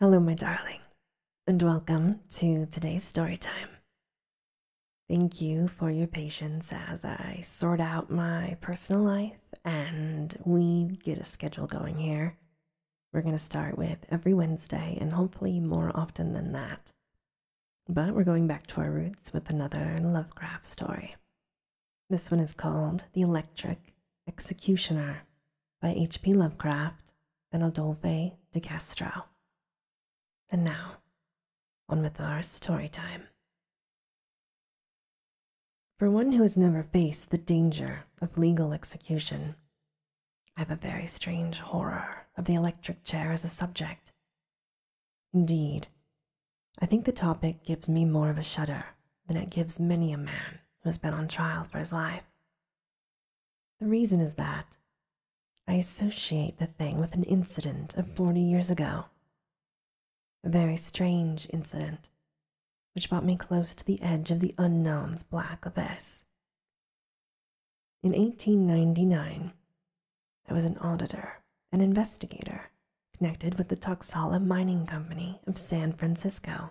Hello, my darling, and welcome to today's story time. Thank you for your patience as I sort out my personal life and we get a schedule going here. We're going to start with every Wednesday and hopefully more often than that. But we're going back to our roots with another Lovecraft story. This one is called The Electric Executioner by H.P. Lovecraft and Adolphe de Castro. And now, on with our story time. For one who has never faced the danger of legal execution, I have a very strange horror of the electric chair as a subject. Indeed, I think the topic gives me more of a shudder than it gives many a man who has been on trial for his life the reason is that I associate the thing with an incident of 40 years ago, a very strange incident which brought me close to the edge of the unknown's black abyss. In 1899, I was an auditor, an investigator connected with the Tuxala Mining Company of San Francisco.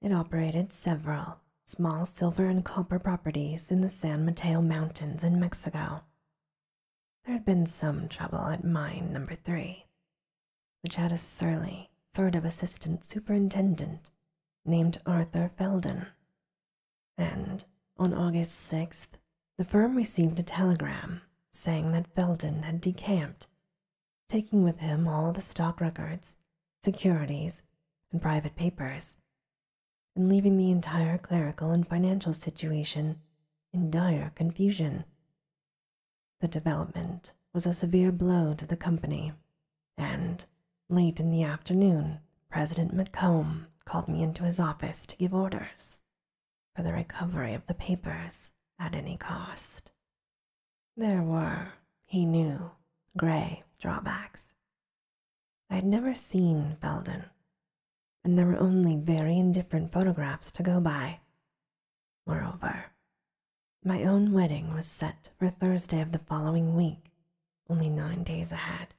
It operated several small silver and copper properties in the San Mateo Mountains in Mexico. There had been some trouble at mine number three, which had a surly, furtive assistant superintendent named Arthur Felden. And on August 6th, the firm received a telegram saying that Felden had decamped taking with him all the stock records, securities, and private papers, and leaving the entire clerical and financial situation in dire confusion. The development was a severe blow to the company, and late in the afternoon, President Macomb called me into his office to give orders for the recovery of the papers at any cost. There were, he knew, grey drawbacks. I had never seen Felden, and there were only very indifferent photographs to go by. Moreover, my own wedding was set for Thursday of the following week, only nine days ahead,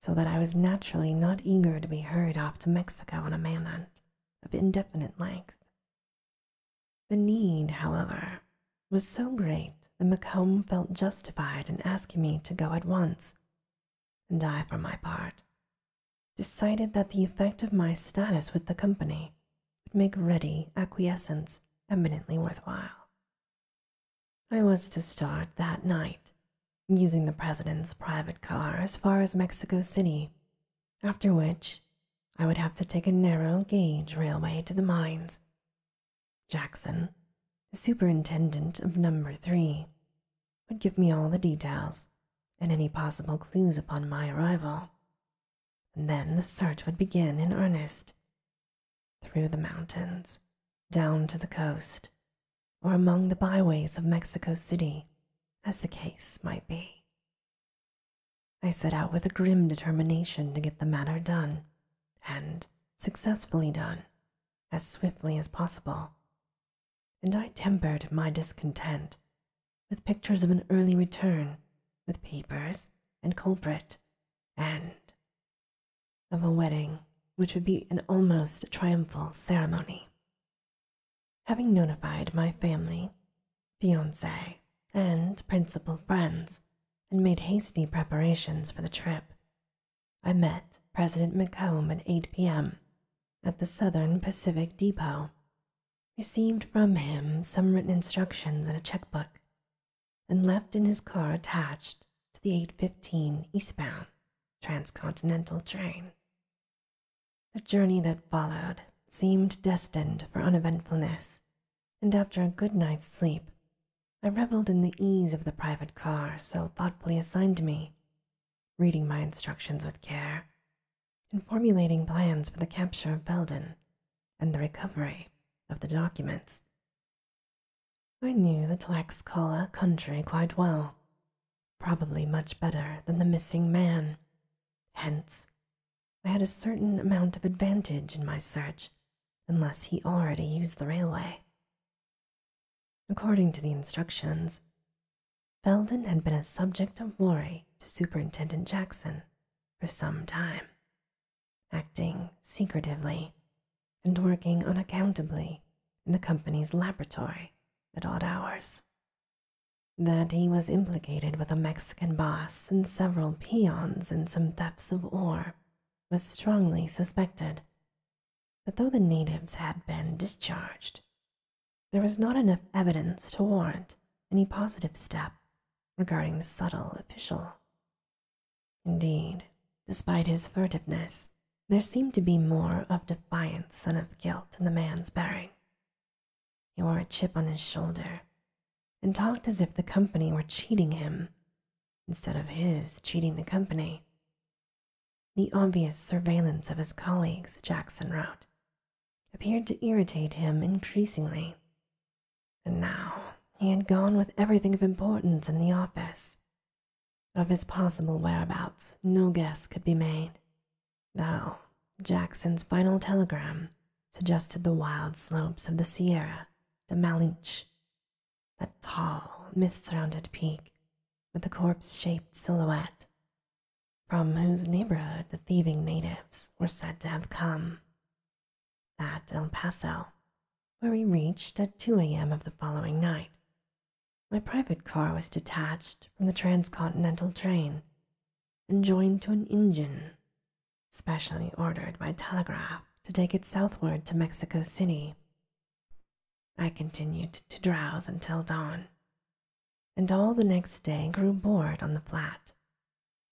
so that I was naturally not eager to be hurried off to Mexico on a manhunt of indefinite length. The need, however, was so great that Macomb felt justified in asking me to go at once, and I, for my part, decided that the effect of my status with the company would make ready acquiescence eminently worthwhile. I was to start that night, using the president's private car as far as Mexico City after which I would have to take a narrow gauge railway to the mines. Jackson, the superintendent of number three, would give me all the details and any possible clues upon my arrival. And then the search would begin in earnest. Through the mountains, down to the coast, or among the byways of Mexico City, as the case might be. I set out with a grim determination to get the matter done, and successfully done, as swiftly as possible. And I tempered my discontent with pictures of an early return, with papers and culprit, and of a wedding which would be an almost triumphal ceremony. Having notified my family Fiancee and principal friends, and made hasty preparations for the trip. I met President McComb at 8 p.m. at the Southern Pacific Depot, received from him some written instructions and a checkbook, and left in his car attached to the 815 eastbound transcontinental train. The journey that followed seemed destined for uneventfulness and after a good night's sleep, I reveled in the ease of the private car so thoughtfully assigned to me, reading my instructions with care, and formulating plans for the capture of Belden and the recovery of the documents. I knew the Tlaxcala country quite well, probably much better than the missing man. Hence, I had a certain amount of advantage in my search, unless he already used the railway. According to the instructions, Felden had been a subject of worry to Superintendent Jackson for some time, acting secretively and working unaccountably in the company's laboratory at odd hours that he was implicated with a Mexican boss and several peons and some thefts of ore was strongly suspected. But though the natives had been discharged, there was not enough evidence to warrant any positive step regarding the subtle official. Indeed, despite his furtiveness, there seemed to be more of defiance than of guilt in the man's bearing. He wore a chip on his shoulder and talked as if the company were cheating him instead of his cheating the company. The obvious surveillance of his colleagues, Jackson wrote, appeared to irritate him increasingly. And now he had gone with everything of importance in the office. Of his possible whereabouts, no guess could be made, though Jackson's final telegram suggested the wild slopes of the Sierra de Malinche, that tall, mist-surrounded peak with the corpse-shaped silhouette from whose neighborhood the thieving natives were said to have come. At El Paso, where we reached at 2 a.m. of the following night, my private car was detached from the transcontinental train and joined to an engine specially ordered by telegraph to take it southward to Mexico City. I continued to drowse until dawn, and all the next day grew bored on the flat,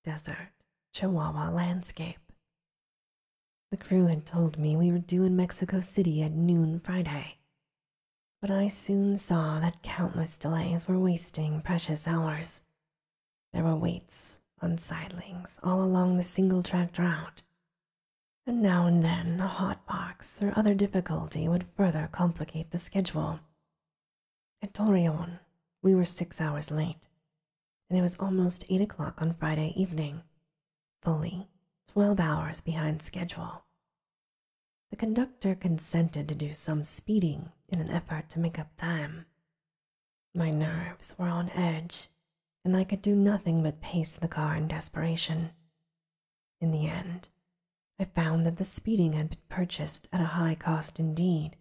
desert Chihuahua landscape. The crew had told me we were due in Mexico City at noon Friday, but I soon saw that countless delays were wasting precious hours there were waits on sidings all along the single tracked route, and now and then a hot box or other difficulty would further complicate the schedule. At Torreon, we were six hours late, and it was almost eight o'clock on Friday evening, fully twelve hours behind schedule. The conductor consented to do some speeding in an effort to make up time my nerves were on edge, and I could do nothing but pace the car in desperation. In the end, I found that the speeding had been purchased at a high cost indeed,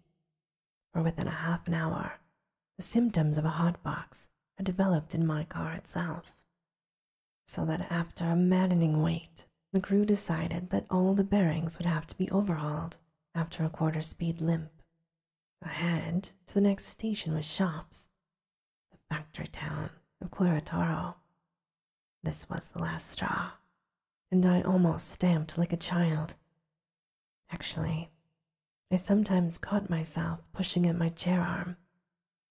for within a half an hour, the symptoms of a hot box had developed in my car itself. So that after a maddening wait, the crew decided that all the bearings would have to be overhauled after a quarter speed limp. Ahead to the next station was shops, the factory town of Curitaro. This was the last straw, and I almost stamped like a child. Actually, I sometimes caught myself pushing at my chair arm,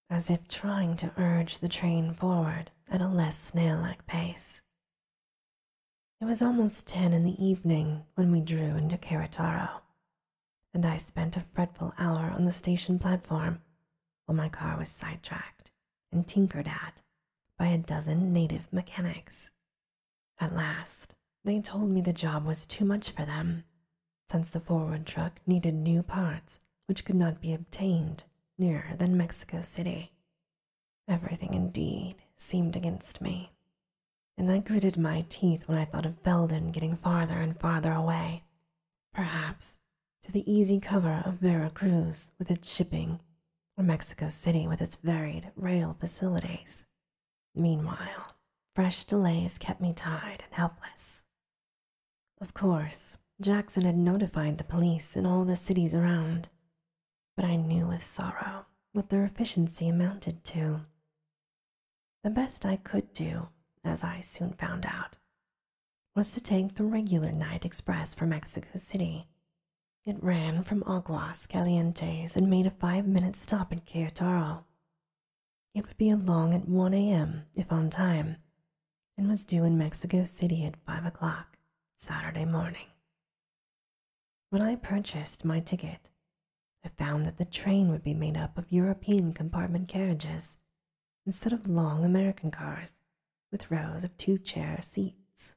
as if trying to urge the train forward at a less snail like pace. It was almost ten in the evening when we drew into Carataro, and I spent a fretful hour on the station platform while my car was sidetracked and tinkered at by a dozen native mechanics. At last, they told me the job was too much for them, since the forward truck needed new parts which could not be obtained nearer than Mexico City. Everything, indeed, seemed against me, and I gritted my teeth when I thought of Belden getting farther and farther away, perhaps to the easy cover of Vera Cruz with its shipping, or Mexico City with its varied rail facilities. Meanwhile, fresh delays kept me tied and helpless. Of course, Jackson had notified the police in all the cities around, but I knew with sorrow what their efficiency amounted to. The best I could do, as I soon found out, was to take the regular night express for Mexico City. It ran from Aguas Calientes and made a five minute stop at Querétaro. It would be along at 1 a.m., if on time, and was due in Mexico City at 5 o'clock Saturday morning. When I purchased my ticket, I found that the train would be made up of European compartment carriages instead of long American cars with rows of two chair seats.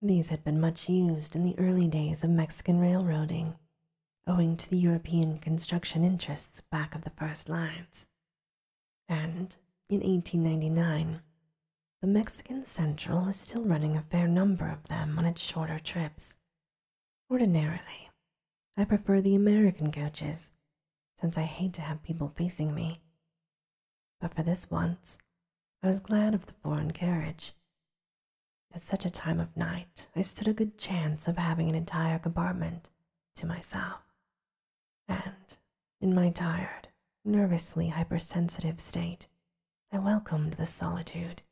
These had been much used in the early days of Mexican railroading, owing to the European construction interests back of the first lines. And in 1899, the Mexican Central was still running a fair number of them on its shorter trips. Ordinarily, I prefer the American coaches, since I hate to have people facing me. But for this once, I was glad of the foreign carriage. At such a time of night, I stood a good chance of having an entire compartment to myself, and in my tired, nervously hypersensitive state, I welcomed the solitude,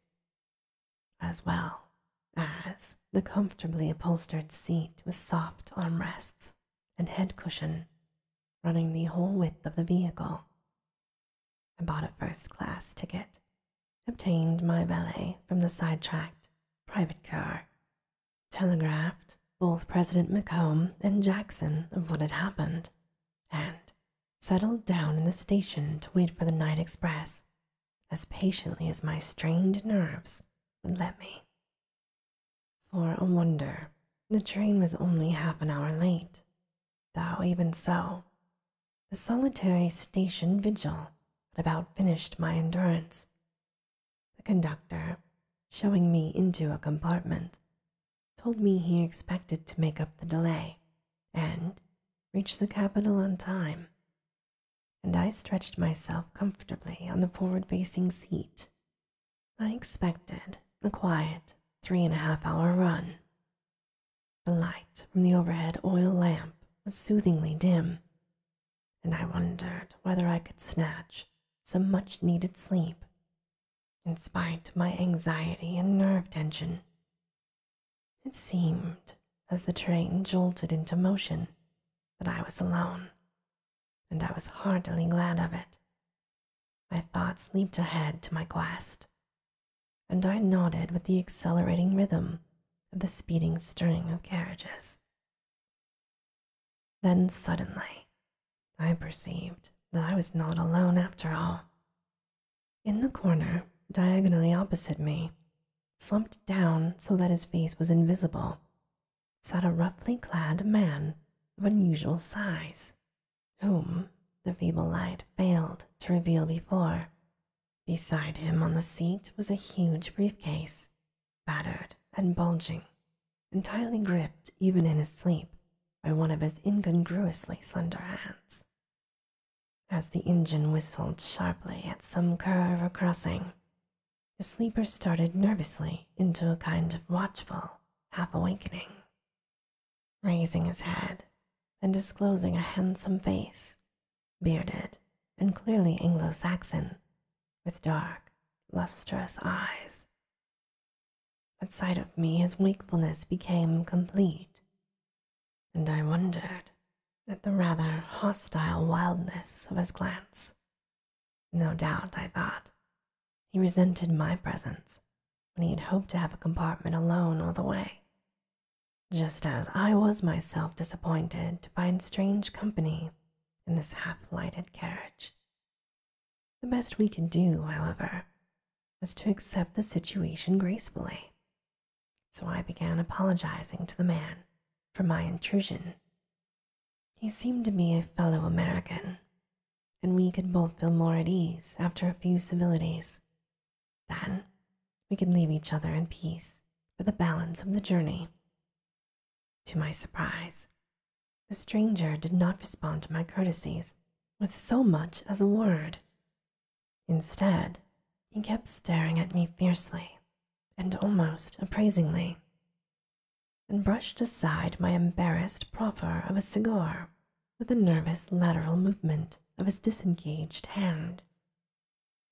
as well as the comfortably upholstered seat with soft arm rests and head cushion running the whole width of the vehicle. I bought a first class ticket, obtained my valet from the sidetracked private car, telegraphed both President Macomb and Jackson of what had happened and settled down in the station to wait for the night express as patiently as my strained nerves would let me. For a wonder, the train was only half an hour late, though even so, the solitary station vigil had about finished my endurance. The conductor, showing me into a compartment told me he expected to make up the delay and reach the capital on time, and I stretched myself comfortably on the forward facing seat. I expected a quiet three and a half hour run. The light from the overhead oil lamp was soothingly dim, and I wondered whether I could snatch some much needed sleep in spite of my anxiety and nerve tension. It seemed, as the train jolted into motion, that I was alone, and I was heartily glad of it. My thoughts leaped ahead to my quest, and I nodded with the accelerating rhythm of the speeding string of carriages. Then suddenly, I perceived that I was not alone after all. In the corner, diagonally opposite me, slumped down so that his face was invisible, sat a roughly clad man of unusual size, whom the feeble light failed to reveal before. Beside him on the seat was a huge briefcase, battered and bulging, entirely gripped even in his sleep by one of his incongruously slender hands. As the engine whistled sharply at some curve or crossing, the sleeper started nervously into a kind of watchful half awakening, raising his head and disclosing a handsome face, bearded and clearly Anglo Saxon, with dark, lustrous eyes. At sight of me, his wakefulness became complete, and I wondered at the rather hostile wildness of his glance. No doubt, I thought, he resented my presence when he had hoped to have a compartment alone all the way, just as I was myself disappointed to find strange company in this half lighted carriage. The best we can do, however, was to accept the situation gracefully. So I began apologizing to the man for my intrusion. He seemed to be a fellow American, and we could both feel more at ease after a few civilities. Then we could leave each other in peace for the balance of the journey. To my surprise, the stranger did not respond to my courtesies with so much as a word. Instead, he kept staring at me fiercely and almost appraisingly, and brushed aside my embarrassed proffer of a cigar with a nervous lateral movement of his disengaged hand.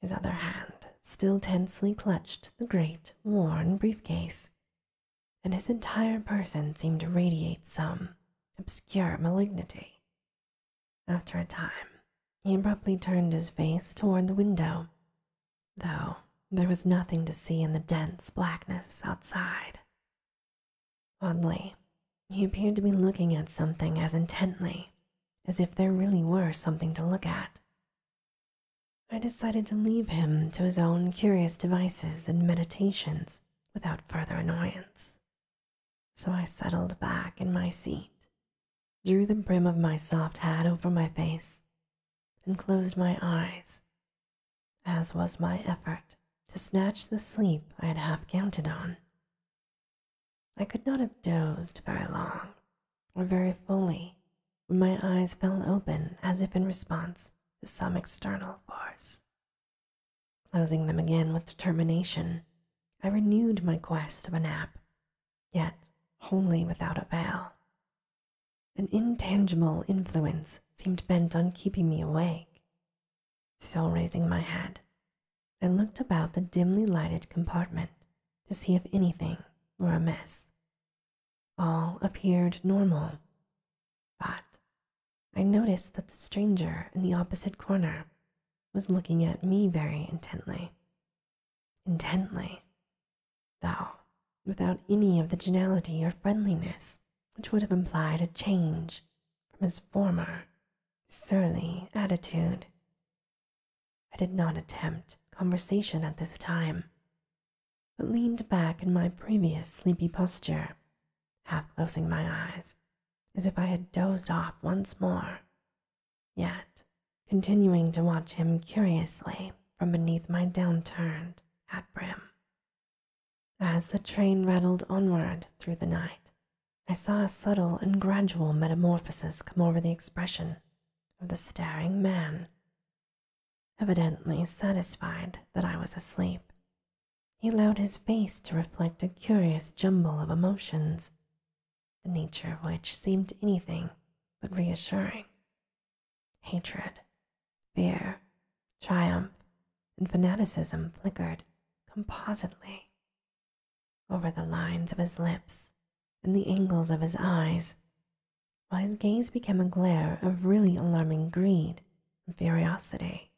His other hand still tensely clutched the great worn briefcase, and his entire person seemed to radiate some obscure malignity. After a time, he abruptly turned his face toward the window, though there was nothing to see in the dense blackness outside. Oddly, he appeared to be looking at something as intently as if there really were something to look at. I decided to leave him to his own curious devices and meditations without further annoyance. So I settled back in my seat, drew the brim of my soft hat over my face, and closed my eyes, as was my effort to snatch the sleep I had half counted on. I could not have dozed very long or very fully when my eyes fell open as if in response to some external force. Closing them again with determination, I renewed my quest of a nap, yet wholly without avail. An intangible influence seemed bent on keeping me awake. So, raising my head, I looked about the dimly lighted compartment to see if anything were amiss. All appeared normal. But I noticed that the stranger in the opposite corner was looking at me very intently. Intently, though, without any of the geniality or friendliness which would have implied a change from his former surly attitude. I did not attempt conversation at this time, but leaned back in my previous sleepy posture half closing my eyes, as if I had dozed off once more, yet continuing to watch him curiously from beneath my downturned hat brim. As the train rattled onward through the night, I saw a subtle and gradual metamorphosis come over the expression of the staring man. Evidently satisfied that I was asleep, he allowed his face to reflect a curious jumble of emotions, the nature of which seemed anything but reassuring hatred, fear, triumph, and fanaticism flickered compositely over the lines of his lips and the angles of his eyes, while his gaze became a glare of really alarming greed and curiosity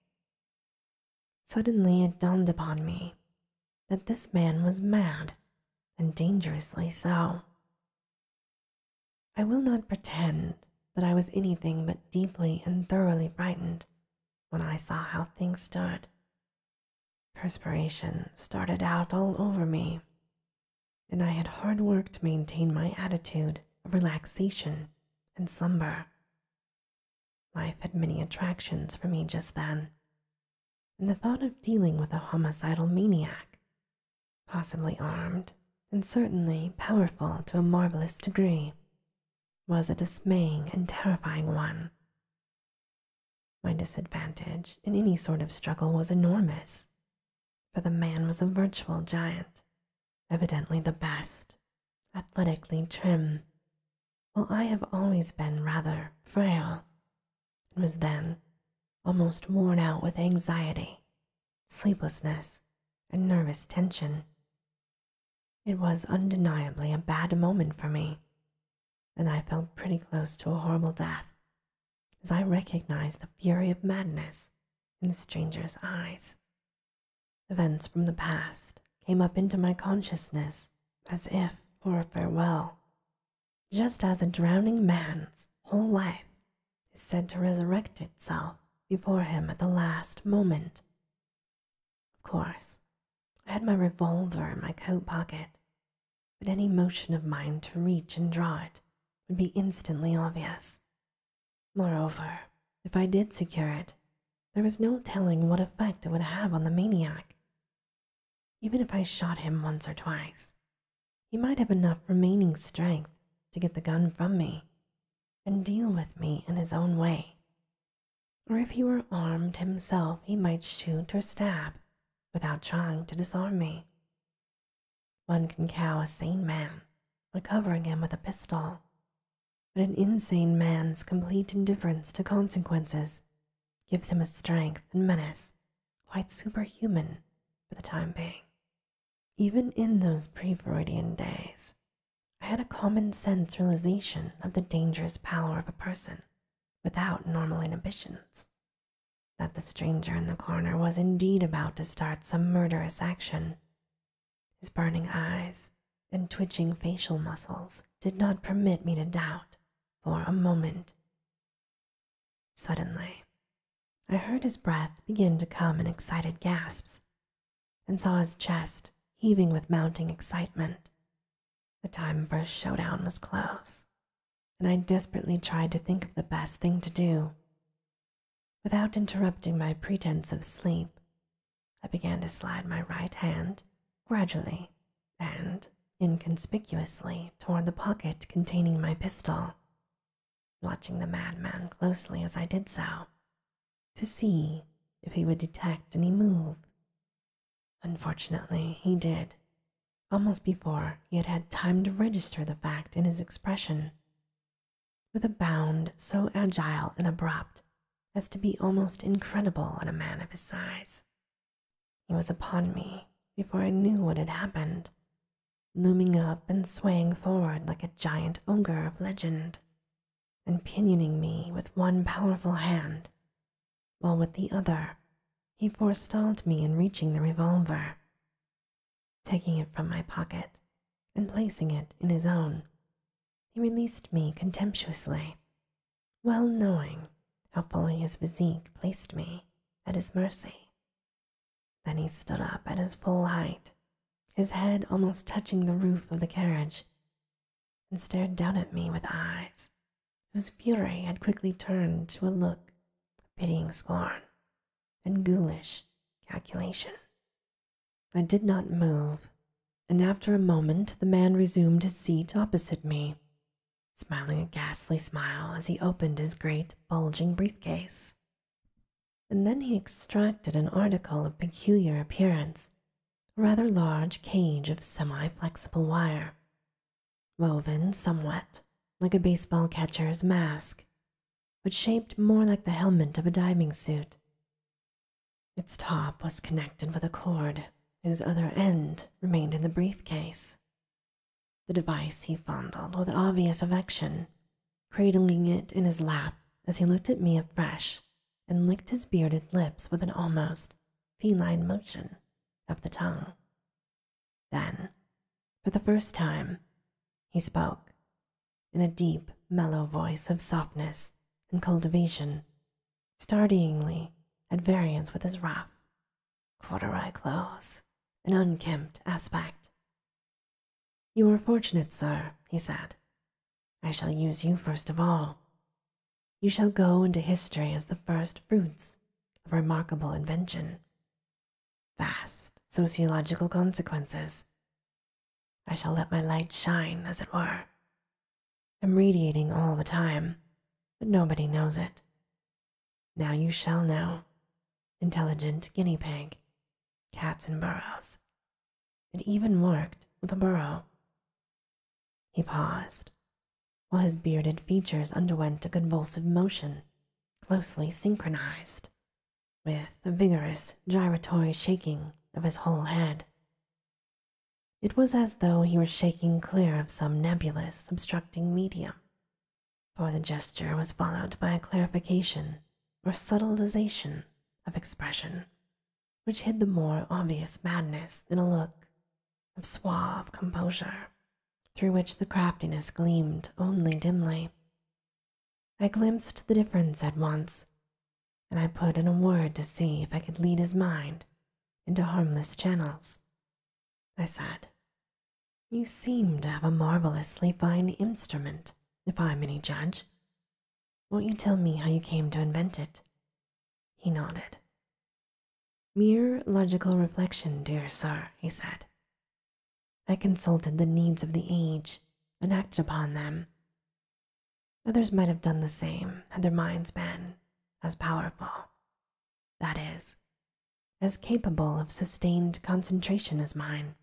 Suddenly it dawned upon me that this man was mad, and dangerously so. I will not pretend that I was anything but deeply and thoroughly frightened when I saw how things stood. Perspiration started out all over me, and I had hard work to maintain my attitude of relaxation and slumber. Life had many attractions for me just then, and the thought of dealing with a homicidal maniac, possibly armed and certainly powerful to a marvelous degree, was a dismaying and terrifying one. My disadvantage in any sort of struggle was enormous, for the man was a virtual giant evidently the best, athletically trim, while I have always been rather frail, and was then almost worn out with anxiety, sleeplessness, and nervous tension. It was undeniably a bad moment for me, and I felt pretty close to a horrible death as I recognized the fury of madness in the stranger's eyes. Events from the past came up into my consciousness as if for a farewell, just as a drowning man's whole life is said to resurrect itself before him at the last moment. Of course, I had my revolver in my coat pocket, but any motion of mine to reach and draw it would be instantly obvious. Moreover, if I did secure it, there was no telling what effect it would have on the maniac. Even if I shot him once or twice, he might have enough remaining strength to get the gun from me and deal with me in his own way. Or if he were armed himself, he might shoot or stab without trying to disarm me. One can cow a sane man by covering him with a pistol, but an insane man's complete indifference to consequences gives him a strength and menace quite superhuman for the time being. Even in those pre Freudian days, I had a common sense realization of the dangerous power of a person without normal inhibitions. That the stranger in the corner was indeed about to start some murderous action his burning eyes and twitching facial muscles did not permit me to doubt for a moment. Suddenly, I heard his breath begin to come in excited gasps and saw his chest heaving with mounting excitement. The time for a showdown was close, and I desperately tried to think of the best thing to do. Without interrupting my pretense of sleep, I began to slide my right hand gradually and inconspicuously toward the pocket containing my pistol, watching the madman closely as I did so to see if he would detect any move. Unfortunately, he did, almost before he had had time to register the fact in his expression with a bound so agile and abrupt as to be almost incredible in a man of his size. He was upon me before I knew what had happened, looming up and swaying forward like a giant ogre of legend, and pinioning me with one powerful hand, while with the other he forestalled me in reaching the revolver taking it from my pocket and placing it in his own. He released me contemptuously, well knowing how fully his physique placed me at his mercy. Then he stood up at his full height, his head almost touching the roof of the carriage, and stared down at me with eyes whose fury had quickly turned to a look of pitying scorn and ghoulish calculation. I did not move, and after a moment the man resumed his seat opposite me, smiling a ghastly smile as he opened his great, bulging briefcase. And then he extracted an article of peculiar appearance, a rather large cage of semi flexible wire, woven somewhat like a baseball catcher's mask but shaped more like the helmet of a diving suit. Its top was connected with a cord whose other end remained in the briefcase. The device he fondled with obvious affection, cradling it in his lap as he looked at me afresh and licked his bearded lips with an almost feline motion of the tongue. Then, for the first time, he spoke in a deep, mellow voice of softness and cultivation, startlingly at variance with his rough, corduroy clothes and unkempt aspect. You are fortunate, sir, he said. I shall use you first of all. You shall go into history as the first fruits of remarkable invention. Vast sociological consequences, I shall let my light shine, as it were. I'm radiating all the time, but nobody knows it. Now you shall know. Intelligent guinea pig, cats and burrows. It even worked with a burrow. He paused, while his bearded features underwent a convulsive motion, closely synchronized with a vigorous gyratory shaking of his whole head. It was as though he were shaking clear of some nebulous obstructing medium, for the gesture was followed by a clarification or subtilization of expression, which hid the more obvious madness in a look of suave composure, through which the craftiness gleamed only dimly. I glimpsed the difference at once, and I put in a word to see if I could lead his mind into harmless channels. I said, You seem to have a marvelously fine instrument, if I'm any judge. Won't you tell me how you came to invent it? He nodded. Mere logical reflection, dear sir, he said. I consulted the needs of the age and acted upon them Others might have done the same had their minds been as powerful, that is, as capable of sustained concentration as mine.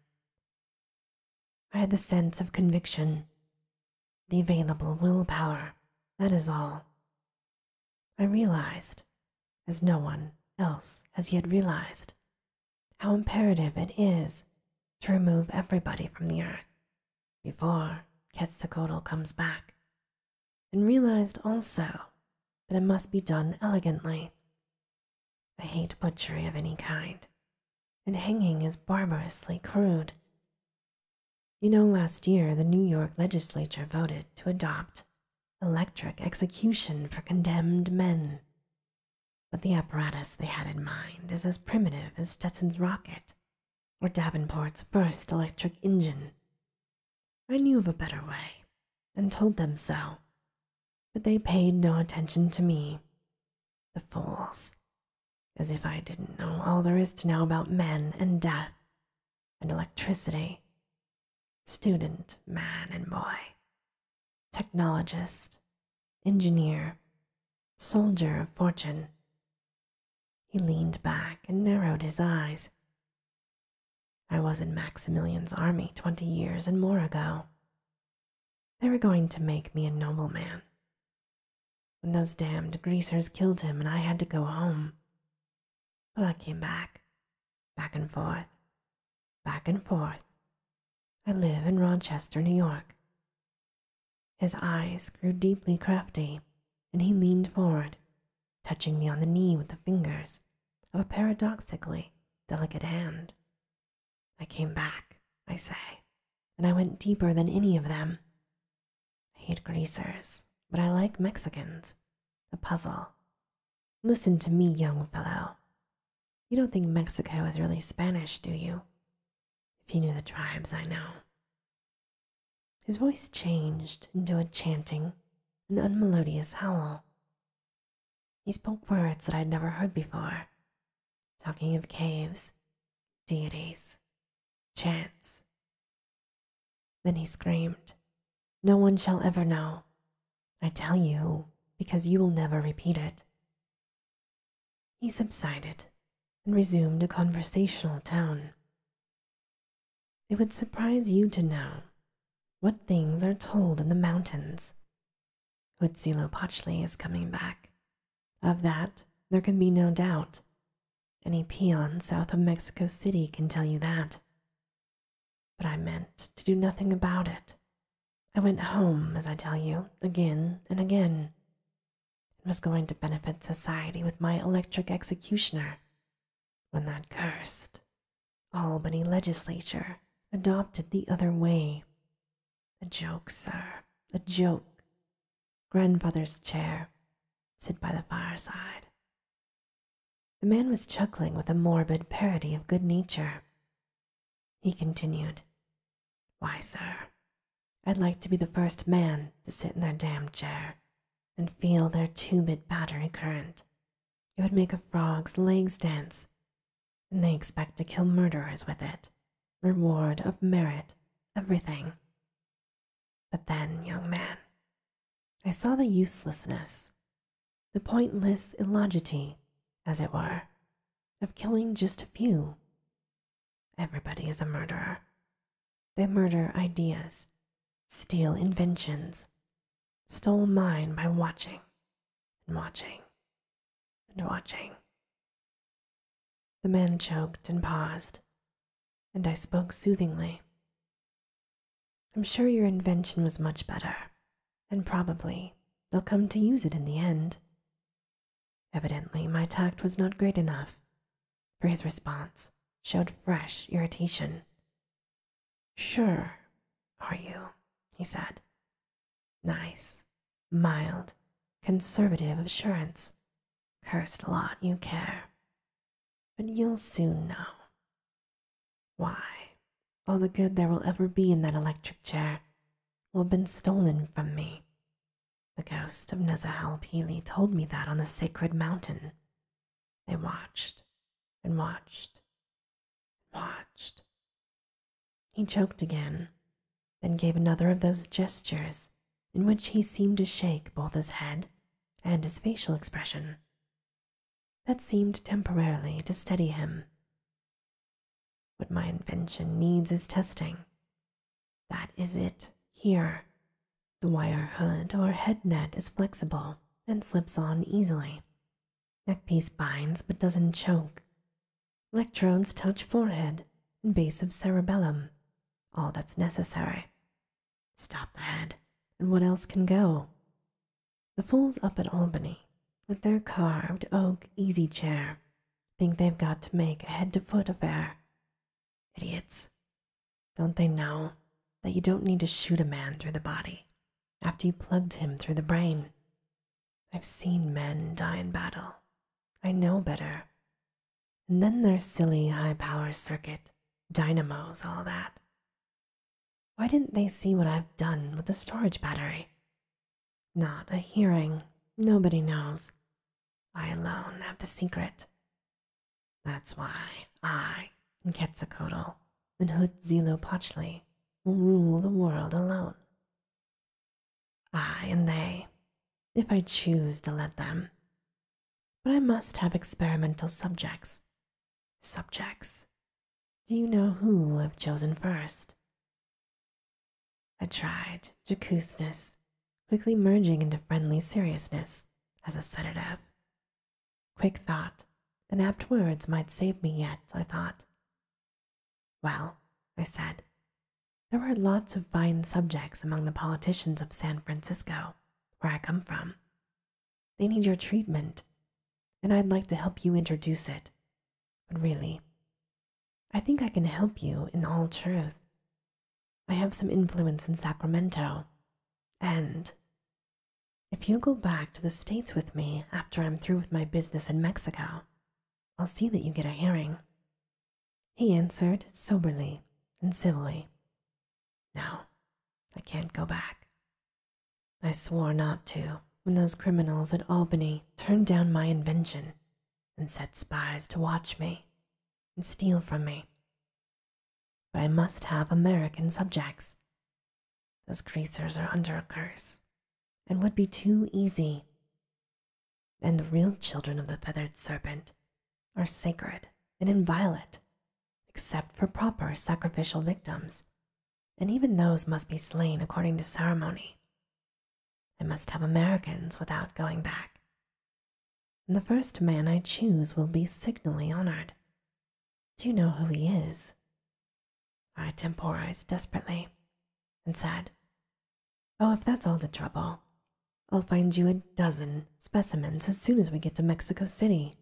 I had the sense of conviction, the available willpower, that is all. I realized, as no one else has yet realized, how imperative it is to remove everybody from the earth before Quetzalcoatl comes back, and realized also that it must be done elegantly. I hate butchery of any kind, and hanging is barbarously crude. You know, last year the New York legislature voted to adopt electric execution for condemned men but the apparatus they had in mind is as primitive as Stetson's rocket or Davenport's first electric engine. I knew of a better way and told them so, but they paid no attention to me. The fools, as if I didn't know all there is to know about men and death and electricity. Student, man, and boy technologist, engineer, soldier of fortune. He leaned back and narrowed his eyes. I was in Maximilian's army twenty years and more ago. They were going to make me a nobleman. When those damned greasers killed him and I had to go home. But I came back, back and forth, back and forth, I live in Rochester, New York. His eyes grew deeply crafty, and he leaned forward, touching me on the knee with the fingers of a paradoxically delicate hand. I came back, I say, and I went deeper than any of them. I hate greasers, but I like Mexicans. A puzzle. Listen to me, young fellow. You don't think Mexico is really Spanish, do you? If you knew the tribes, I know. His voice changed into a chanting, an unmelodious howl. He spoke words that i had never heard before, talking of caves, deities, chance. Then he screamed, No one shall ever know. I tell you, because you will never repeat it. He subsided and resumed a conversational tone. It would surprise you to know what things are told in the mountains. Huitzilopochtli is coming back. Of that, there can be no doubt. Any peon south of Mexico City can tell you that. But I meant to do nothing about it I went home, as I tell you, again and again. It was going to benefit society with my electric executioner when that cursed Albany legislature adopted the other way. A joke, sir, a joke. Grandfather's chair, sit by the fireside. The man was chuckling with a morbid parody of good nature. He continued, Why, sir, I'd like to be the first man to sit in their damned chair and feel their tubid battery current. It would make a frog's legs dance, and they expect to kill murderers with it. Reward of merit, everything. But then, young man, I saw the uselessness, the pointless illogity, as it were, of killing just a few. Everybody is a murderer. They murder ideas, steal inventions, stole mine by watching and watching and watching. The man choked and paused, and I spoke soothingly. I'm sure your invention was much better, and probably they'll come to use it in the end. Evidently, my tact was not great enough, for his response showed fresh irritation. Sure, are you? he said. Nice, mild, conservative assurance. Cursed lot you care. But you'll soon know. Why, all the good there will ever be in that electric chair will have been stolen from me. The ghost of Nezahal Pili told me that on the sacred mountain. They watched and watched and watched. He choked again, then gave another of those gestures in which he seemed to shake both his head and his facial expression. That seemed temporarily to steady him. What my invention needs is testing. That is it here. The wire hood or head net is flexible and slips on easily. Neckpiece binds but doesn't choke. Electrodes touch forehead and base of cerebellum. All that's necessary. Stop the head, and what else can go? The fools up at Albany, with their carved oak easy chair think they've got to make a head to foot affair. Idiots. Don't they know that you don't need to shoot a man through the body after you plugged him through the brain? I've seen men die in battle. I know better. And then their silly high power circuit, dynamos, all that. Why didn't they see what I've done with the storage battery? Not a hearing. Nobody knows. I alone have the secret. That's why I and Quetzalcoatl and Huitzilopochtli will rule the world alone. I and they, if I choose to let them. But I must have experimental subjects. Subjects. Do you know who I've chosen first? I tried jocoseness, quickly merging into friendly seriousness as a sedative. Quick thought and apt words might save me yet, I thought. Well, I said, there are lots of fine subjects among the politicians of San Francisco, where I come from. They need your treatment, and I'd like to help you introduce it. But really, I think I can help you in all truth. I have some influence in Sacramento, and if you go back to the States with me after I'm through with my business in Mexico, I'll see that you get a hearing. He answered soberly and civilly. No, I can't go back. I swore not to when those criminals at Albany turned down my invention and set spies to watch me and steal from me. But I must have American subjects. Those greasers are under a curse and would be too easy. And the real children of the feathered serpent are sacred and inviolate, except for proper sacrificial victims, and even those must be slain according to ceremony. I must have Americans without going back. The first man I choose will be signally honored. Do you know who he is? I temporized desperately and said, Oh, if that's all the trouble, I'll find you a dozen specimens as soon as we get to Mexico City.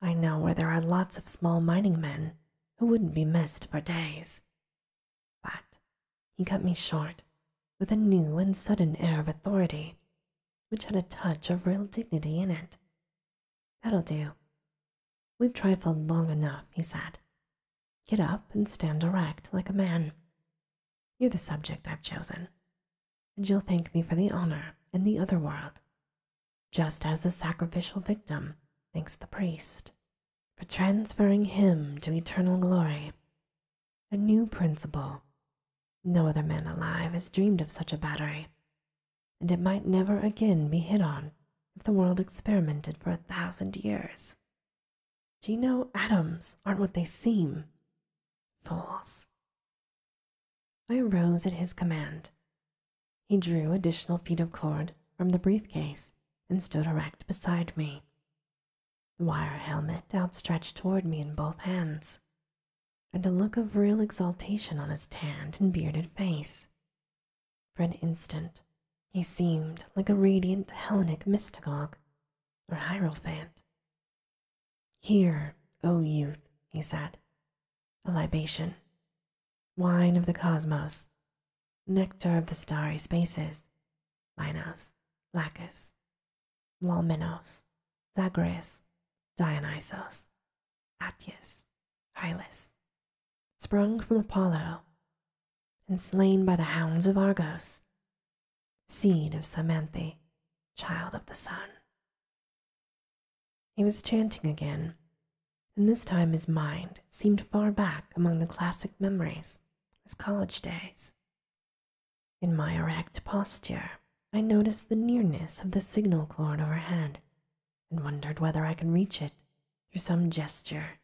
I know where there are lots of small mining men who wouldn't be missed for days. But he cut me short with a new and sudden air of authority, which had a touch of real dignity in it. That'll do. We've trifled long enough, he said. Get up and stand erect like a man. You're the subject I've chosen, and you'll thank me for the honor in the other world, just as the sacrificial victim thanks the priest for transferring him to eternal glory. A new principle. No other man alive has dreamed of such a battery, and it might never again be hit on if the world experimented for a thousand years. Do you know atoms aren't what they seem? Fools. I arose at his command. He drew additional feet of cord from the briefcase and stood erect beside me, the wire helmet outstretched toward me in both hands, and a look of real exaltation on his tanned and bearded face. For an instant, he seemed like a radiant Hellenic mystagogue or hierophant. Here, O youth, he said, a libation, wine of the cosmos, nectar of the starry spaces, Linos, Lacus, Lalminos, Zagreus, Dionysos, Atreus, Hylas, sprung from Apollo, and slain by the hounds of Argos, seed of Samanthe, child of the sun. He was chanting again, and this time his mind seemed far back among the classic memories as college days. In my erect posture, I noticed the nearness of the signal cord overhead and wondered whether I could reach it through some gesture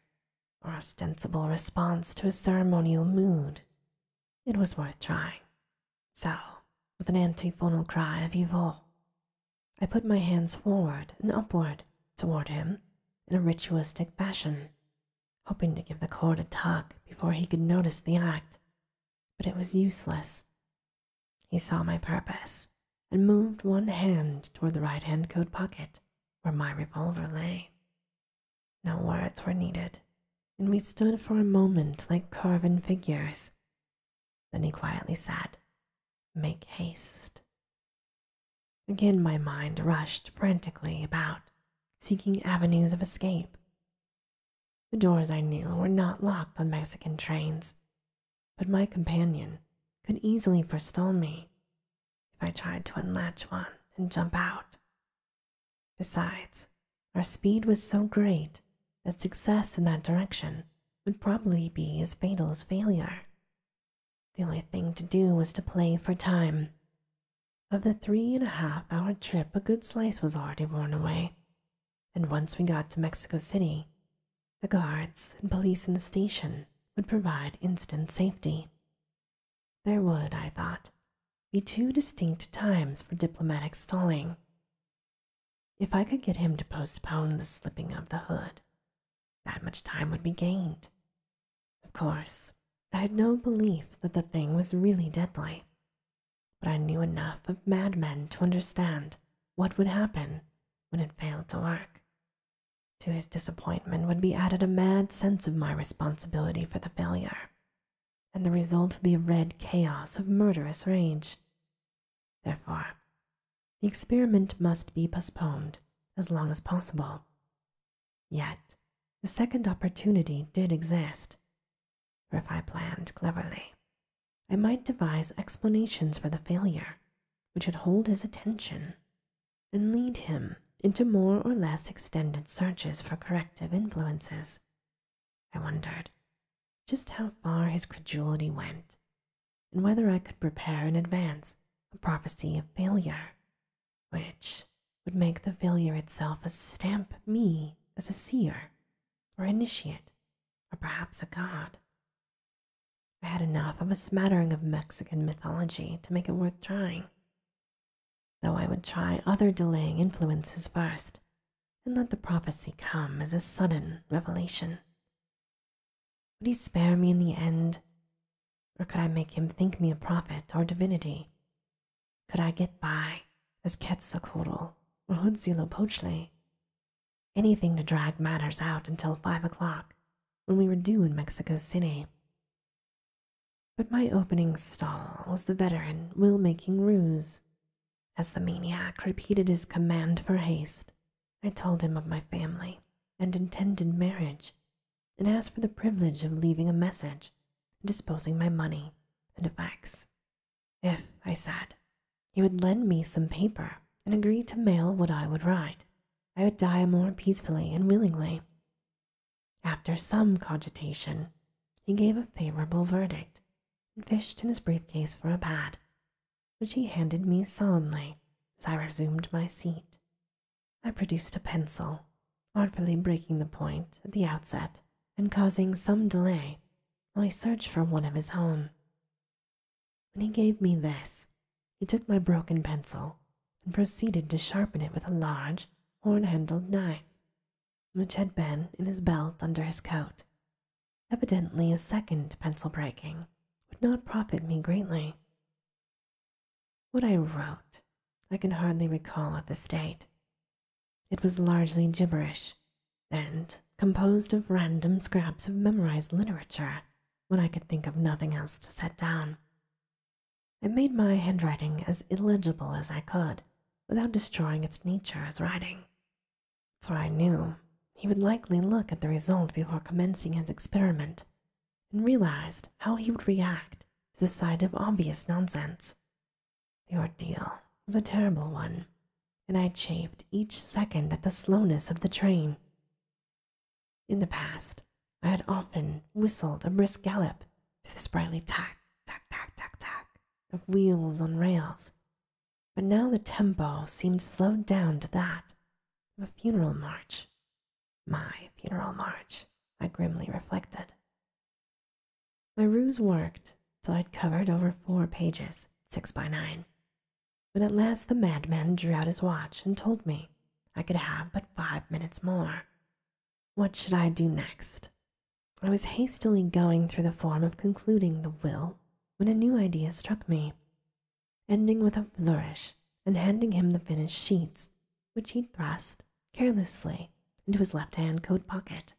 or ostensible response to his ceremonial mood. It was worth trying. So, with an antiphonal cry of evil, I put my hands forward and upward toward him in a ritualistic fashion, hoping to give the court a tug before he could notice the act, but it was useless. He saw my purpose and moved one hand toward the right hand coat pocket where my revolver lay. No words were needed, and we stood for a moment like carven figures. Then he quietly said, Make haste. Again, my mind rushed frantically about, seeking avenues of escape. The doors I knew were not locked on Mexican trains, but my companion could easily forestall me if I tried to unlatch one and jump out. Besides, our speed was so great that success in that direction would probably be as fatal as failure. The only thing to do was to play for time. Of the three and a half hour trip, a good slice was already worn away, and once we got to Mexico City, the guards and police in the station would provide instant safety. There would, I thought, be two distinct times for diplomatic stalling. If I could get him to postpone the slipping of the hood, that much time would be gained. Of course, I had no belief that the thing was really deadly, but I knew enough of madmen to understand what would happen when it failed to work. To his disappointment would be added a mad sense of my responsibility for the failure, and the result would be a red chaos of murderous rage. Therefore, the experiment must be postponed as long as possible Yet, the second opportunity did exist. For if I planned cleverly, I might devise explanations for the failure which would hold his attention and lead him into more or less extended searches for corrective influences. I wondered just how far his credulity went and whether I could prepare in advance a prophecy of failure which would make the failure itself stamp me as a seer or initiate or perhaps a god. I had enough of a smattering of Mexican mythology to make it worth trying, though I would try other delaying influences first and let the prophecy come as a sudden revelation. Would he spare me in the end? Or could I make him think me a prophet or divinity? Could I get by as Quetzalcoatl or Huitzilopochtli? Anything to drag matters out until five o'clock when we were due in Mexico City. But my opening stall was the veteran will making ruse. As the maniac repeated his command for haste, I told him of my family and intended marriage and asked for the privilege of leaving a message and disposing my money and effects. If, I said, he would lend me some paper and agree to mail what I would write, I would die more peacefully and willingly. After some cogitation, he gave a favorable verdict and fished in his briefcase for a pad, which he handed me solemnly as I resumed my seat. I produced a pencil, artfully breaking the point at the outset and causing some delay while I searched for one of his own. When he gave me this, he took my broken pencil and proceeded to sharpen it with a large, horn handled knife, which had been in his belt under his coat. Evidently, a second pencil breaking would not profit me greatly. What I wrote, I can hardly recall at this date. It was largely gibberish and composed of random scraps of memorized literature when I could think of nothing else to set down. I made my handwriting as illegible as I could without destroying its nature as writing, for I knew he would likely look at the result before commencing his experiment and realized how he would react to the sight of obvious nonsense. The ordeal was a terrible one, and I chafed each second at the slowness of the train. In the past, I had often whistled a brisk gallop to the sprightly tack, tack, tack, tack, tack of wheels on rails, but now the tempo seemed slowed down to that of a funeral march my funeral march, I grimly reflected. My ruse worked, till I'd covered over four pages, six by nine. When at last the madman drew out his watch and told me I could have but five minutes more. What should I do next? I was hastily going through the form of concluding the will when a new idea struck me ending with a flourish and handing him the finished sheets, which he thrust carelessly into his left hand coat pocket.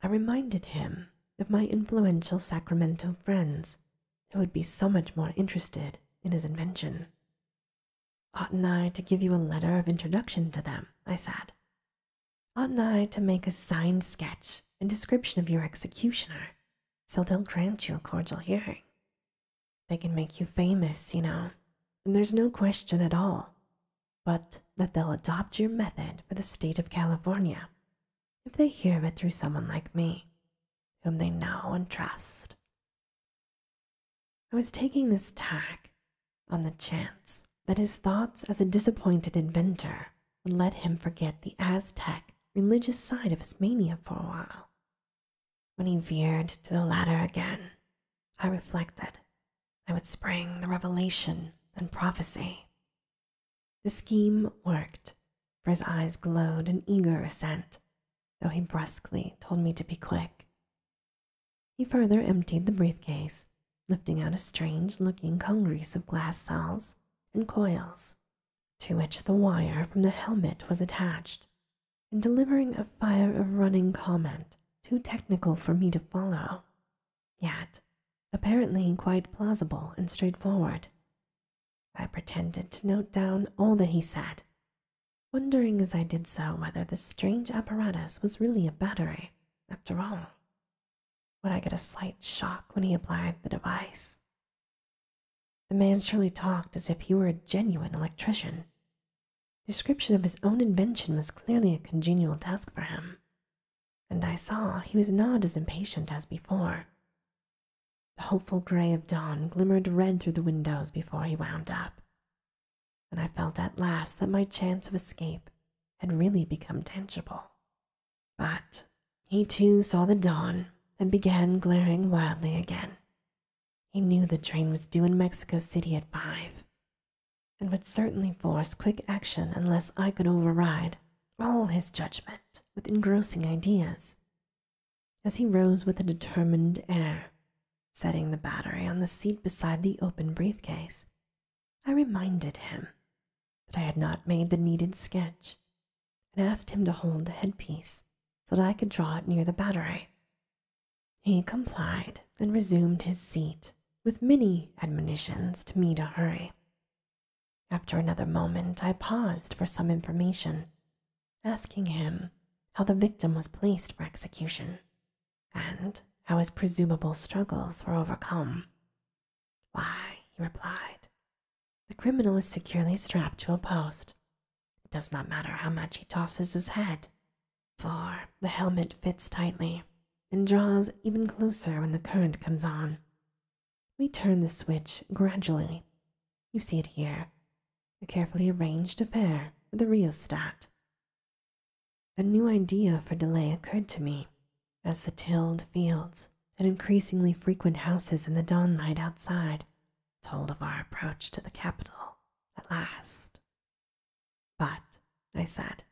I reminded him of my influential Sacramento friends who would be so much more interested in his invention. Oughtn't I to give you a letter of introduction to them? I said. Oughtn't I to make a signed sketch and description of your executioner so they'll grant you a cordial hearing? They can make you famous, you know, and there's no question at all but that they'll adopt your method for the state of California if they hear of it through someone like me, whom they know and trust. I was taking this tack on the chance that his thoughts as a disappointed inventor would let him forget the Aztec religious side of his mania for a while when he veered to the ladder again, I reflected I would spring the revelation and prophecy. The scheme worked, for his eyes glowed in eager assent, though he brusquely told me to be quick. He further emptied the briefcase, lifting out a strange looking congeries of glass cells and coils to which the wire from the helmet was attached, in delivering a fire of running comment too technical for me to follow, yet apparently quite plausible and straightforward. I pretended to note down all that he said, wondering as I did so whether this strange apparatus was really a battery, after all. Would I get a slight shock when he applied the device? The man surely talked as if he were a genuine electrician. Description of his own invention was clearly a congenial task for him, and I saw he was not as impatient as before. The hopeful gray of dawn glimmered red through the windows before he wound up, and I felt at last that my chance of escape had really become tangible. But he too saw the dawn and began glaring wildly again, he knew the train was due in Mexico City at five and would certainly force quick action unless I could override all his judgment with engrossing ideas. As he rose with a determined air, setting the battery on the seat beside the open briefcase, I reminded him that I had not made the needed sketch and asked him to hold the headpiece so that I could draw it near the battery. He complied and resumed his seat with many admonitions to me to hurry. After another moment, I paused for some information, asking him how the victim was placed for execution and how his presumable struggles were overcome. Why, he replied, the criminal is securely strapped to a post. It does not matter how much he tosses his head, for the helmet fits tightly and draws even closer when the current comes on. We turn the switch gradually. You see it here, a carefully arranged affair with a rheostat. A new idea for delay occurred to me as the tilled fields and increasingly frequent houses in the dawn light outside told of our approach to the capital at last. But, I said,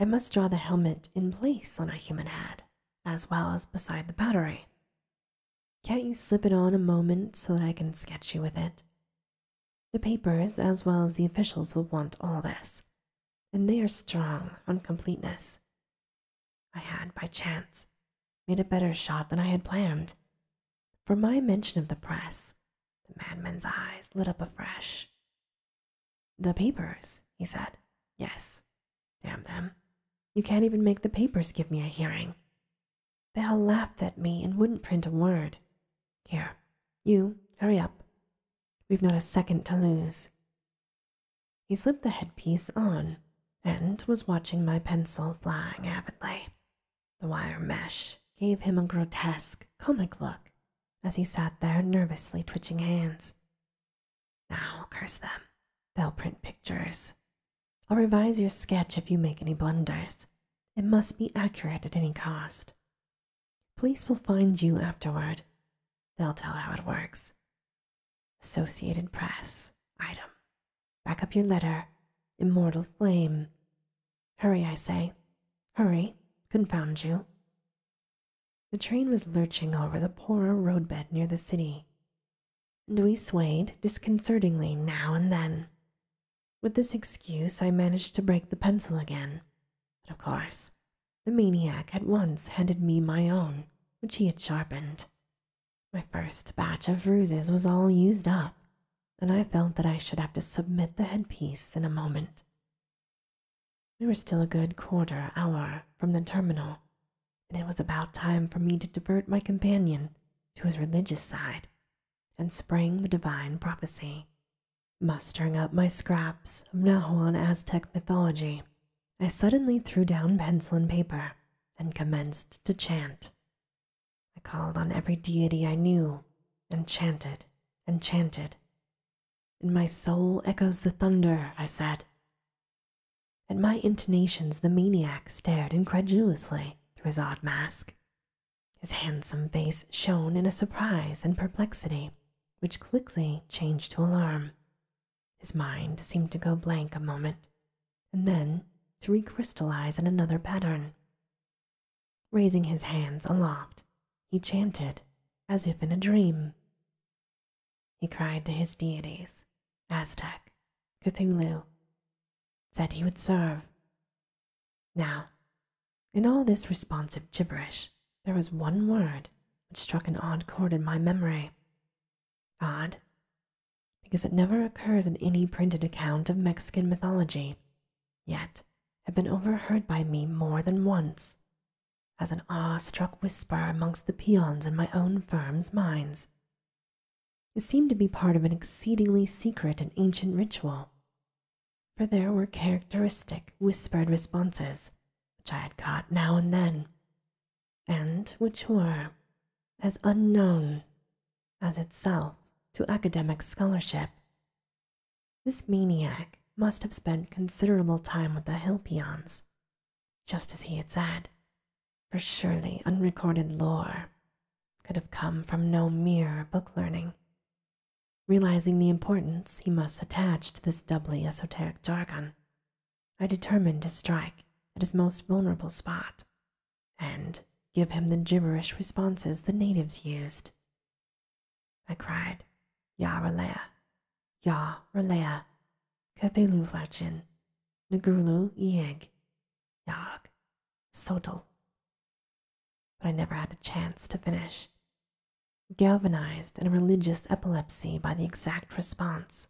I must draw the helmet in place on a human head, as well as beside the battery. Can't you slip it on a moment so that I can sketch you with it? The papers, as well as the officials, will want all this, and they are strong on completeness. I had, by chance, made a better shot than I had planned. For my mention of the press, the madman's eyes lit up afresh. The papers, he said. Yes, damn them. You can't even make the papers give me a hearing. They all laughed at me and wouldn't print a word. Here, you, hurry up. We've not a second to lose. He slipped the headpiece on and was watching my pencil flying avidly. The wire mesh gave him a grotesque, comic look as he sat there nervously twitching hands. Now, curse them. They'll print pictures. I'll revise your sketch if you make any blunders. It must be accurate at any cost. Police will find you afterward. They'll tell how it works. Associated Press, item Back up your letter, immortal flame. Hurry, I say. Hurry, confound you. The train was lurching over the poorer roadbed near the city, and we swayed disconcertingly now and then. With this excuse, I managed to break the pencil again, but of course, the maniac at once handed me my own, which he had sharpened. My first batch of ruses was all used up, and I felt that I should have to submit the headpiece in a moment. We were still a good quarter hour from the terminal, and it was about time for me to divert my companion to his religious side and spring the divine prophecy. Mustering up my scraps of Nahuan Aztec mythology, I suddenly threw down pencil and paper and commenced to chant. I called on every deity I knew and chanted and chanted. In my soul echoes the thunder, I said. At my intonations, the maniac stared incredulously through his odd mask. His handsome face shone in a surprise and perplexity, which quickly changed to alarm. His mind seemed to go blank a moment, and then to recrystallize in another pattern. Raising his hands aloft, he chanted as if in a dream. He cried to his deities, Aztec, Cthulhu, said he would serve. Now, in all this responsive gibberish, there was one word which struck an odd chord in my memory. odd because it never occurs in any printed account of Mexican mythology, yet had been overheard by me more than once as an awe-struck whisper amongst the peons in my own firm's minds. It seemed to be part of an exceedingly secret and ancient ritual, for there were characteristic whispered responses which I had caught now and then, and which were as unknown as itself to academic scholarship. This maniac must have spent considerable time with the hill just as he had said, for surely unrecorded lore could have come from no mere book learning. Realizing the importance he must attach to this doubly esoteric jargon, I determined to strike at his most vulnerable spot and give him the gibberish responses the natives used. I cried, "Yaralea, Yaralea, Ya Ralea, Cthulhu Flachin, Yag, Sotel. But I never had a chance to finish. Galvanized in a religious epilepsy by the exact response,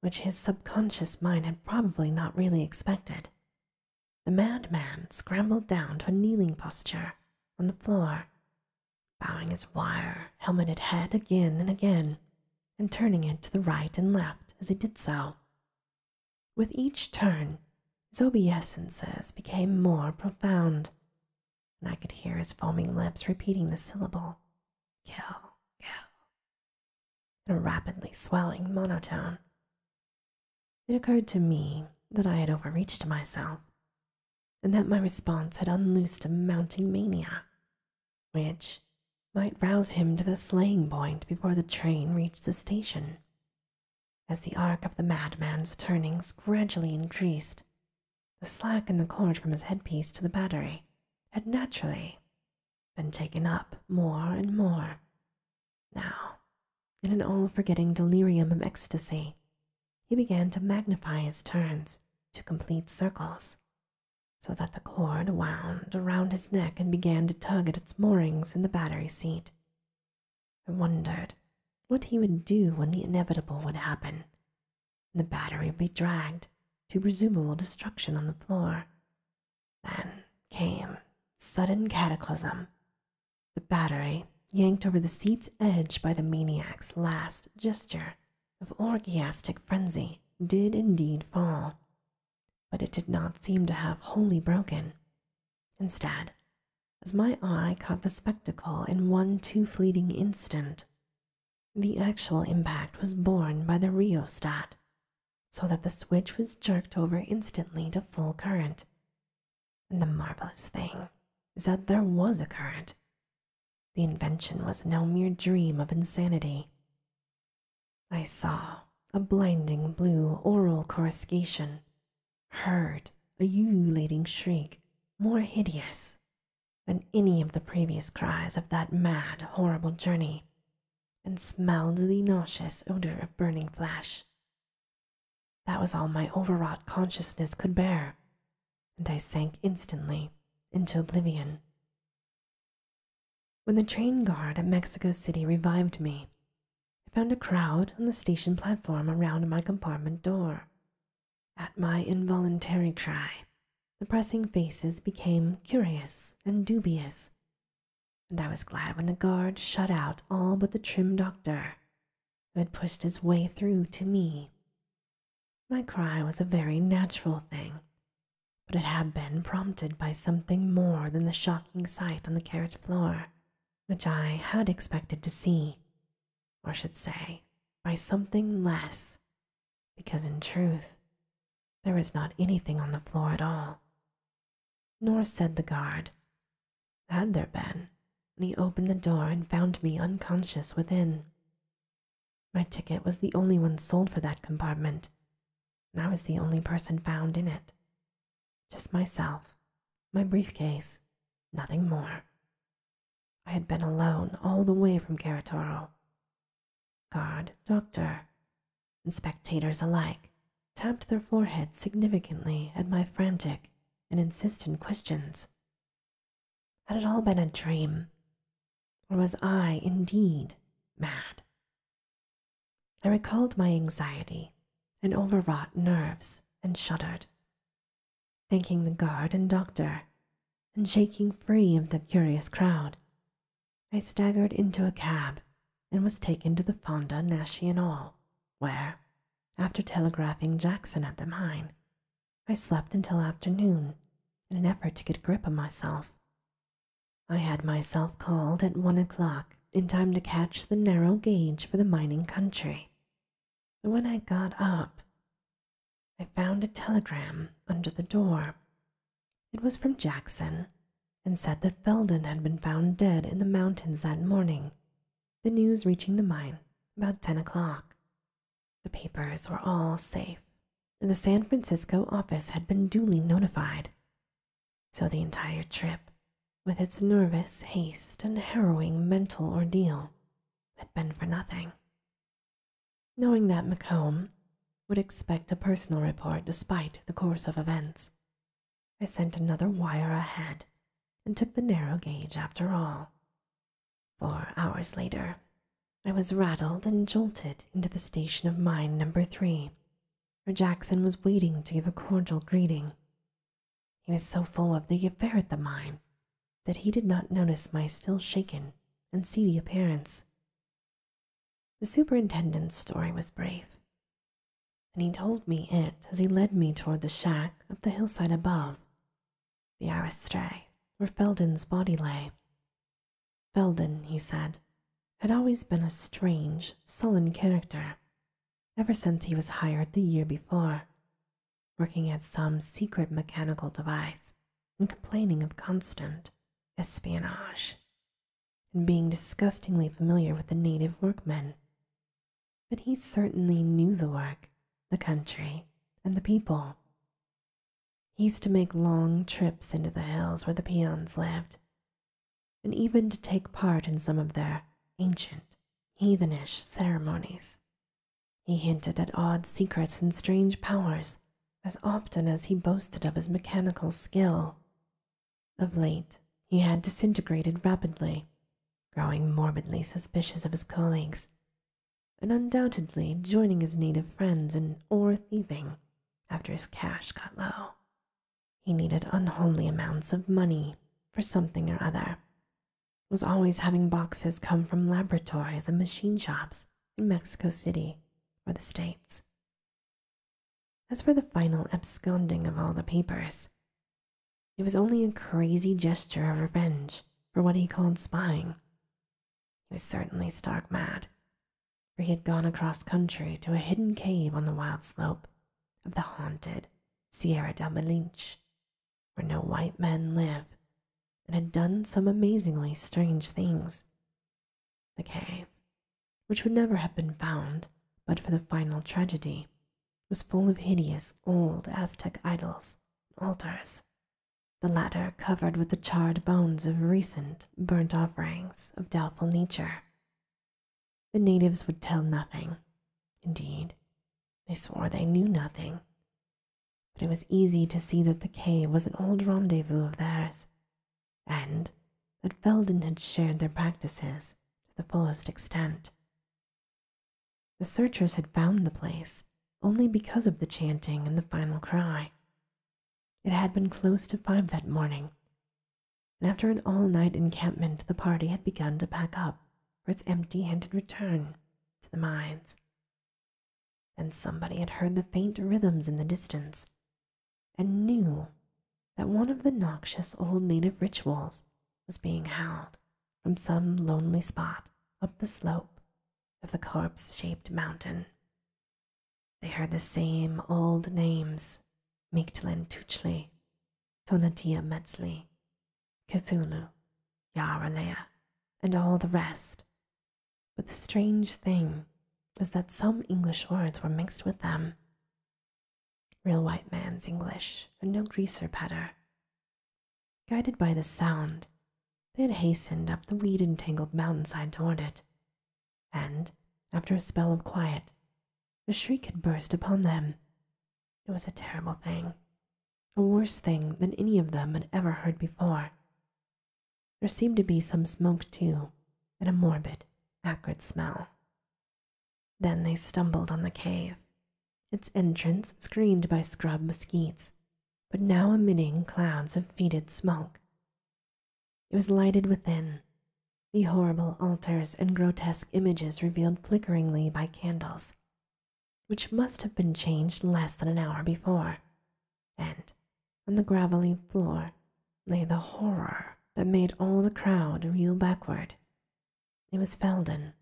which his subconscious mind had probably not really expected. The madman scrambled down to a kneeling posture on the floor, bowing his wire helmeted head again and again, and turning it to the right and left as he did so. With each turn, his obeisances became more profound, and I could hear his foaming lips repeating the syllable, kill, kill, in a rapidly swelling monotone. It occurred to me that I had overreached myself, and that my response had unloosed a mounting mania, which might rouse him to the slaying point before the train reached the station. As the arc of the madman's turnings gradually increased, the slack in the cord from his headpiece to the battery had naturally been taken up more and more. Now, in an all forgetting delirium of ecstasy, he began to magnify his turns to complete circles, so that the cord wound around his neck and began to tug at its moorings in the battery seat. I wondered what he would do when the inevitable would happen. The battery would be dragged to presumable destruction on the floor, then came sudden cataclysm. The battery, yanked over the seat's edge by the maniac's last gesture of orgiastic frenzy, did indeed fall, but it did not seem to have wholly broken. Instead, as my eye caught the spectacle in one too fleeting instant, the actual impact was borne by the rheostat, so that the switch was jerked over instantly to full current. And the marvelous thing is that there was a current. The invention was no mere dream of insanity. I saw a blinding blue oral coruscation, heard a ululating shriek more hideous than any of the previous cries of that mad, horrible journey and smelled the nauseous odor of burning flesh. That was all my overwrought consciousness could bear, and I sank instantly into oblivion. When the train guard at Mexico City revived me, I found a crowd on the station platform around my compartment door. At my involuntary cry, the pressing faces became curious and dubious, and I was glad when the guard shut out all but the trim doctor, who had pushed his way through to me. My cry was a very natural thing, but it had been prompted by something more than the shocking sight on the carriage floor, which I had expected to see, or should say, by something less, because in truth, there is not anything on the floor at all. Nor said the guard, Had there been, he opened the door and found me unconscious within. My ticket was the only one sold for that compartment, and I was the only person found in it. Just myself, my briefcase, nothing more. I had been alone all the way from Caratoro. Guard, doctor, and spectators alike tapped their foreheads significantly at my frantic and insistent questions. Had it all been a dream? Or was I indeed mad? I recalled my anxiety and overwrought nerves and shuddered, thanking the guard and doctor and shaking free of the curious crowd I staggered into a cab and was taken to the Fonda National, where, after telegraphing Jackson at the mine, I slept until afternoon in an effort to get a grip of myself. I had myself called at one o'clock in time to catch the narrow gauge for the mining country. But when I got up, I found a telegram under the door it was from Jackson and said that Felden had been found dead in the mountains that morning, the news reaching the mine about 10 o'clock. The papers were all safe, and the San Francisco office had been duly notified. So the entire trip, with its nervous haste and harrowing mental ordeal, had been for nothing. Knowing that Macomb, would expect a personal report despite the course of events. I sent another wire ahead and took the narrow gauge after all. Four hours later, I was rattled and jolted into the station of mine number three, where Jackson was waiting to give a cordial greeting. He was so full of the affair at the mine that he did not notice my still shaken and seedy appearance. The superintendent's story was brief, and he told me it as he led me toward the shack up the hillside above, the aristray where Felden's body lay. Felden, he said, had always been a strange, sullen character ever since he was hired the year before, working at some secret mechanical device and complaining of constant espionage and being disgustingly familiar with the native workmen. But he certainly knew the work, the country, and the people. He used to make long trips into the hills where the peons lived, and even to take part in some of their ancient, heathenish ceremonies. He hinted at odd secrets and strange powers as often as he boasted of his mechanical skill of late, he had disintegrated rapidly, growing morbidly suspicious of his colleagues, and undoubtedly joining his native friends in ore thieving after his cash got low. He needed unhomely amounts of money for something or other, was always having boxes come from laboratories and machine shops in Mexico City or the States as for the final absconding of all the papers, it was only a crazy gesture of revenge for what he called spying. He was certainly stark mad, for he had gone across country to a hidden cave on the wild slope of the haunted Sierra del Malinche, where no white men live, and had done some amazingly strange things, the cave, which would never have been found but for the final tragedy, was full of hideous old Aztec idols and altars, the latter covered with the charred bones of recent burnt offerings of doubtful nature. The natives would tell nothing. Indeed, they swore they knew nothing. But it was easy to see that the cave was an old rendezvous of theirs, and that Felden had shared their practices to the fullest extent. The searchers had found the place only because of the chanting and the final cry. It had been close to five that morning, and after an all night encampment, the party had begun to pack up for its empty handed return to the mines. Then somebody had heard the faint rhythms in the distance and knew that one of the noxious old native rituals was being held from some lonely spot up the slope of the corpse shaped mountain. They heard the same old names Mictlan Tuchli, Tonatia Metzli, Cthulhu, Yaralea, and all the rest. But the strange thing was that some English words were mixed with them. Real white man's English, and no greaser patter. Guided by the sound, they had hastened up the weed entangled mountainside toward it, and, after a spell of quiet, the shriek had burst upon them. It was a terrible thing, a worse thing than any of them had ever heard before. There seemed to be some smoke, too, and a morbid, acrid smell. Then they stumbled on the cave, its entrance screened by scrub mesquites, but now emitting clouds of fetid smoke. It was lighted within, the horrible altars and grotesque images revealed flickeringly by candles, which must have been changed less than an hour before, and on the gravelly floor lay the horror that made all the crowd reel backward. It was Felden,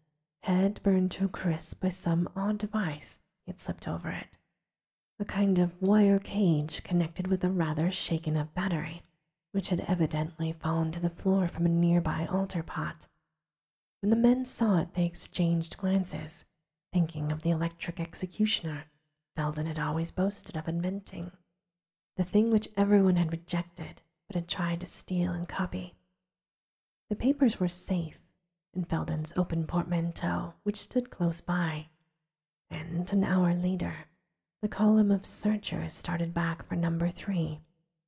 head burned to a crisp by some odd device he had slipped over it, a kind of wire cage connected with a rather shaken up battery, which had evidently fallen to the floor from a nearby altar pot. When the men saw it, they exchanged glances, thinking of the electric executioner Felden had always boasted of inventing the thing which everyone had rejected but had tried to steal and copy. The papers were safe in Felden's open portmanteau, which stood close by, and an hour later, the column of searchers started back for number three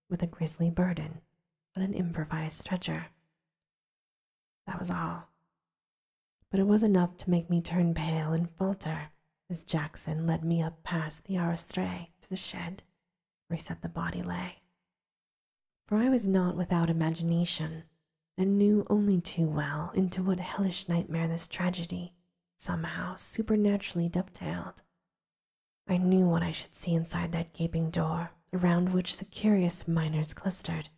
with a grisly burden on an improvised stretcher. That was all. But it was enough to make me turn pale and falter as Jackson led me up past the aristray to the shed where said the body lay. For I was not without imagination and knew only too well into what hellish nightmare this tragedy somehow supernaturally dovetailed. I knew what I should see inside that gaping door around which the curious miners clustered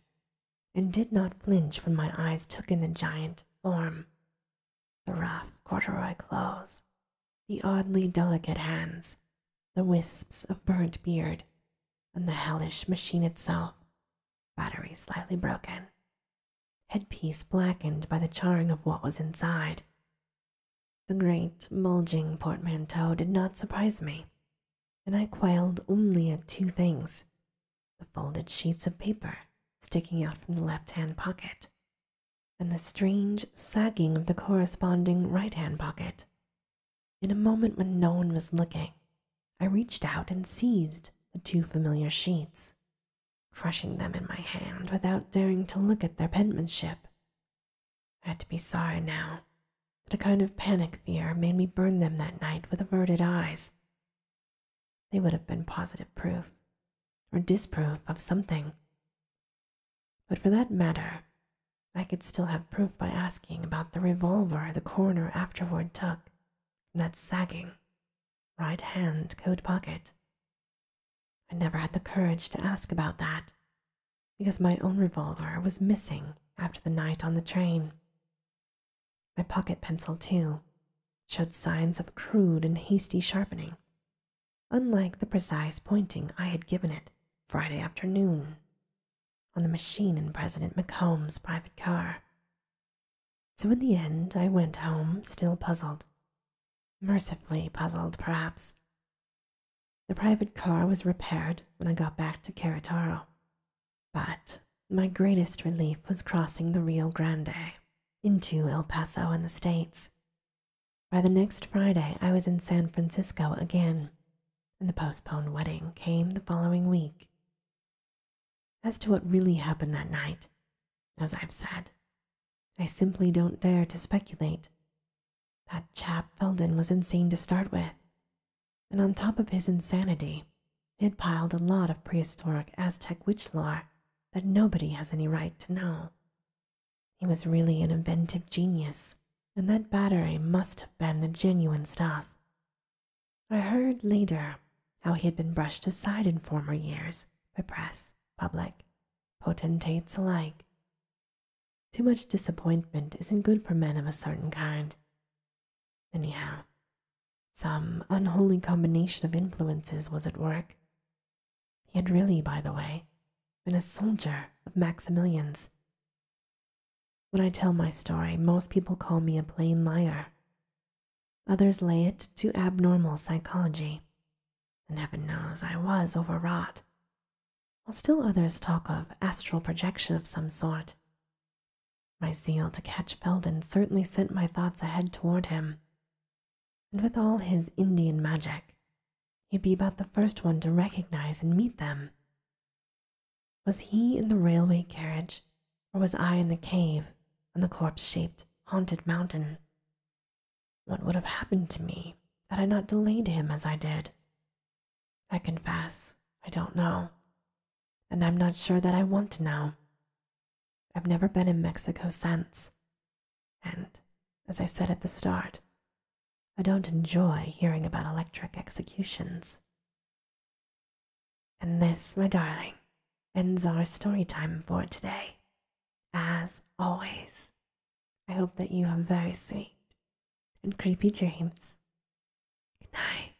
and did not flinch when my eyes took in the giant form, the rough corduroy clothes, the oddly delicate hands, the wisps of burnt beard, and the hellish machine itself, battery slightly broken, headpiece blackened by the charring of what was inside. The great, bulging portmanteau did not surprise me, and I quailed only at two things the folded sheets of paper sticking out from the left hand pocket, and the strange sagging of the corresponding right hand pocket. In a moment when no one was looking, I reached out and seized the two familiar sheets, crushing them in my hand without daring to look at their penmanship. I had to be sorry now but a kind of panic fear made me burn them that night with averted eyes, they would have been positive proof or disproof of something. But for that matter, I could still have proof by asking about the revolver the coroner afterward took from that sagging right hand coat pocket. I never had the courage to ask about that because my own revolver was missing after the night on the train, my pocket pencil, too, showed signs of crude and hasty sharpening, unlike the precise pointing I had given it Friday afternoon on the machine in President McComb's private car. So in the end, I went home still puzzled. Mercifully puzzled, perhaps. The private car was repaired when I got back to Carataro, but my greatest relief was crossing the Rio Grande into El Paso and the States. By the next Friday, I was in San Francisco again, and the postponed wedding came the following week. As to what really happened that night, as I've said, I simply don't dare to speculate. That chap Felden was insane to start with, and on top of his insanity, he It piled a lot of prehistoric Aztec witch lore that nobody has any right to know. He was really an inventive genius, and that battery must have been the genuine stuff. I heard later how he had been brushed aside in former years by press, public, potentates alike. Too much disappointment isn't good for men of a certain kind. Anyhow, some unholy combination of influences was at work. He had really, by the way, been a soldier of Maximilian's. When I tell my story, most people call me a plain liar. Others lay it to abnormal psychology, and heaven knows I was overwrought. While still others talk of astral projection of some sort, my zeal to catch Felden certainly sent my thoughts ahead toward him. And with all his Indian magic, he'd be about the first one to recognize and meet them. Was he in the railway carriage, or was I in the cave on the corpse shaped, haunted mountain? What would have happened to me had I not delayed him as I did? I confess, I don't know, and I'm not sure that I want to know. I've never been in Mexico since. And, as I said at the start, I don't enjoy hearing about electric executions. And this, my darling, ends our story time for today. As always, I hope that you have very sweet and creepy dreams. Good night.